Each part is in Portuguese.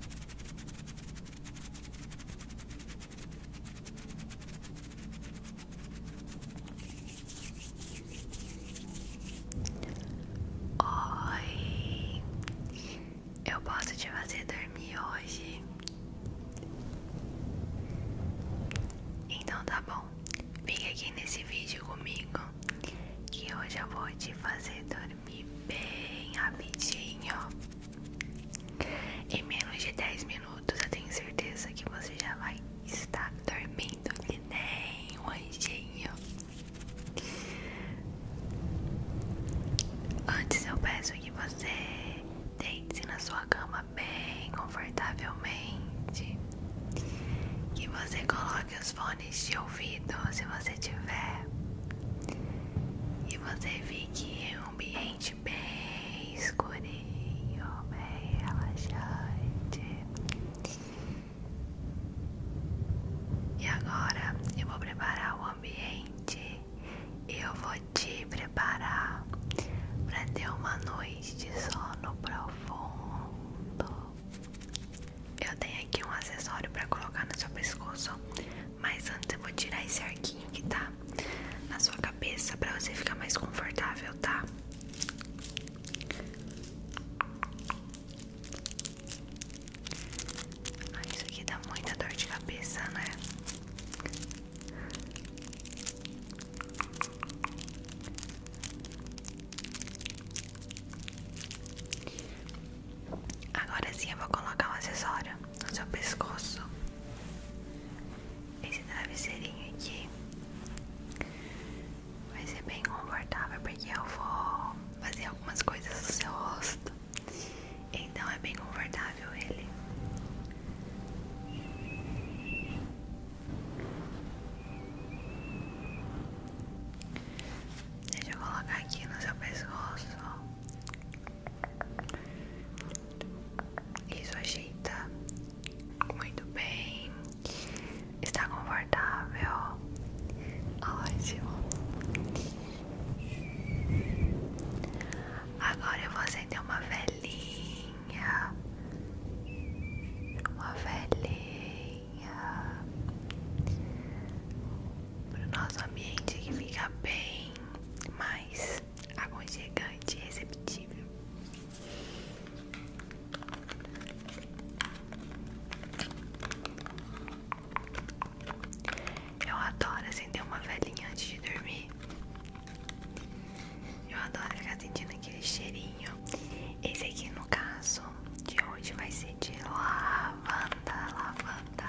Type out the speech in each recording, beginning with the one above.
Oi, eu posso te fazer dormir hoje? Então tá bom, fica aqui nesse vídeo comigo que hoje eu vou te fazer dormir dormir bem rapidinho. Em menos de 10 minutos, eu tenho certeza que você já vai estar dormindo que nem um anjinho. Antes, eu peço que você deite-se na sua cama bem confortavelmente, que você coloque os fones de ouvido, se você tiver, e você fique em um ambiente bem escurinho, bem relaxante. E agora eu vou preparar o ambiente e eu vou te preparar para ter uma noite de sono profundo. Eu tenho aqui um acessório pra colocar no seu pescoço, mas antes eu vou tirar esse arquinho que tá na sua cabeça pra você ficar mais confortável, tá? Ah, isso aqui dá muita dor de cabeça, né? Agora sim eu vou colocar um acessório no seu pescoço. Esse travesseirinho aqui vai ser bem confortável porque eu vou fazer algumas coisas no seu rosto. Então é bem confortável ele. Deixa eu colocar aqui no seu pescoço. Isso ajeita tá muito bem. Está confortável. Ótimo. Agora eu vou acender uma velhinha. Uma velhinha para o nosso ambiente que fica bem mais aconchegante e receptível. Eu adoro acender uma velhinha antes de dormir. Eu adoro ficar sentindo aquele cheirinho. Esse aqui, no caso de hoje, vai ser de lavanda, lavanda.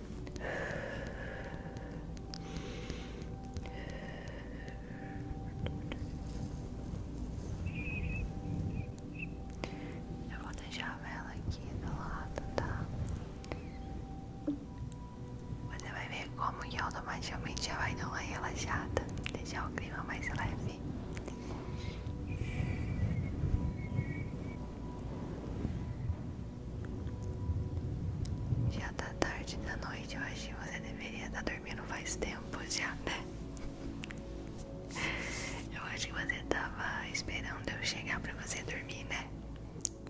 Eu vou deixar a vela aqui do lado, tá? Você vai ver como que automaticamente já vai dar uma relaxada, deixar o clima mais leve. Já tá tarde da noite, eu acho que você deveria estar tá dormindo faz tempo já, né? Eu acho que você tava esperando eu chegar pra você dormir, né?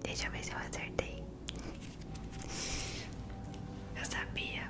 Deixa eu ver se eu acertei. Eu sabia.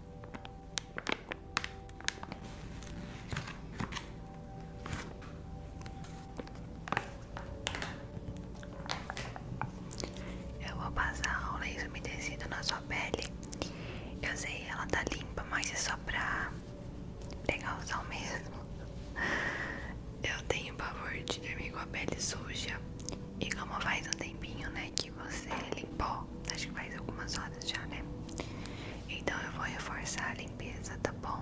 Eu vou passar o lenço umedecido na sua pele. Eu sei, ela tá limpa, mas é só pra pegar o sal mesmo. Eu tenho o pavor de dormir com a pele suja. E como faz um tempinho, né, que você limpou, acho que faz algumas horas já, né? Então eu vou reforçar a limpeza, tá bom?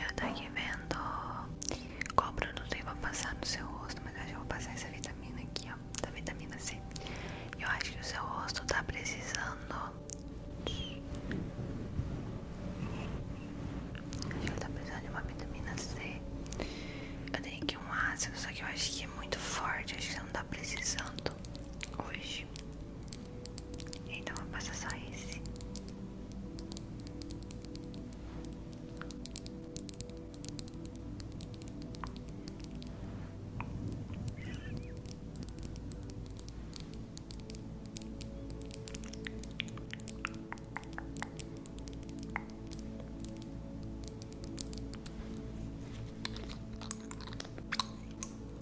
Eu tô aqui vendo qual produto eu vou passar no seu rosto, mas eu acho que eu vou passar essa vitamina aqui, ó, da vitamina C. Eu acho que o seu rosto tá precisando. Acho que ele tá precisando de uma vitamina C. Eu tenho aqui um ácido, só que eu acho que é muito forte, acho que você não tá precisando hoje. Então eu vou passar só esse.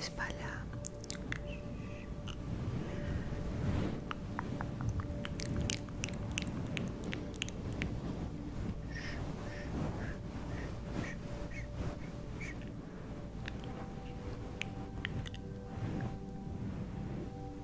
espalhar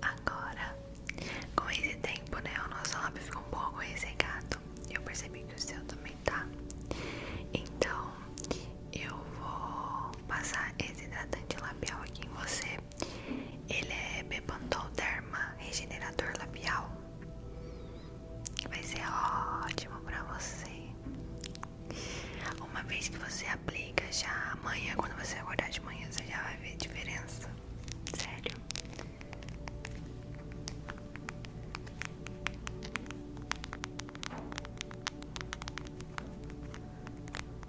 Agora, com esse tempo, né, o nosso lábio ficou um pouco ressecado. Eu percebi que o seu também tá. Então, eu vou passar esse hidratante labial aqui em você ele é Bepantolderma Regenerador Labial. Vai ser ótimo pra você. Uma vez que você aplica, já amanhã, quando você acordar de manhã, você já vai ver a diferença. Sério.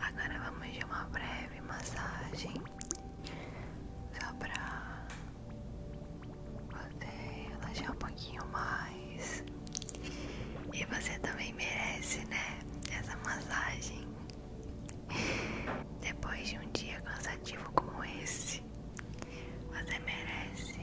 Agora vamos de uma breve massagem só para você relaxar um pouquinho mais. E você também merece, né? Essa massagem. Depois de um dia cansativo como esse, você merece.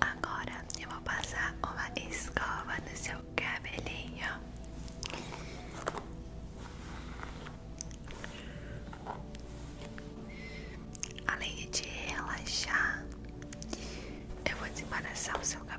Agora eu vou passar uma escova no seu cabelinho. Além de relaxar, eu vou desembaraçar o seu cabelo.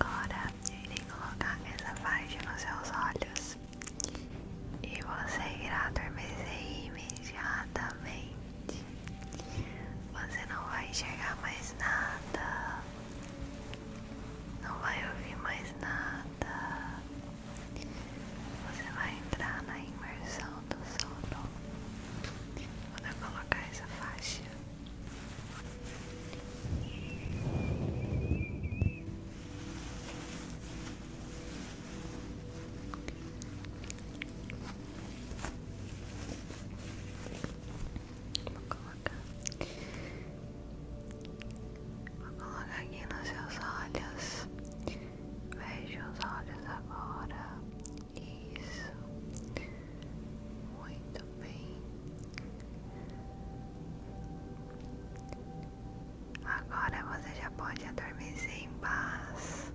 Agora eu irei colocar essa faixa nos seus olhos e você irá adormecer imediatamente. Você não vai enxergar mais nada, não vai ouvir mais nada. Você vai entrar na imersão do sono. Vou até colocar essa faixa. Vou colocar. Vou colocar aqui nos seus olhos. Veja os olhos agora. Isso. Muito bem. Agora você já pode adormecer em paz.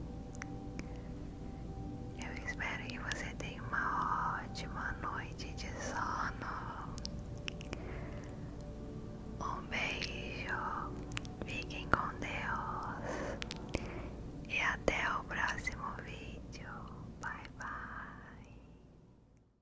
Eu espero que você tenha uma ótima noite de sono. Um beijo, fiquem com Deus e até o próximo vídeo. Bye bye.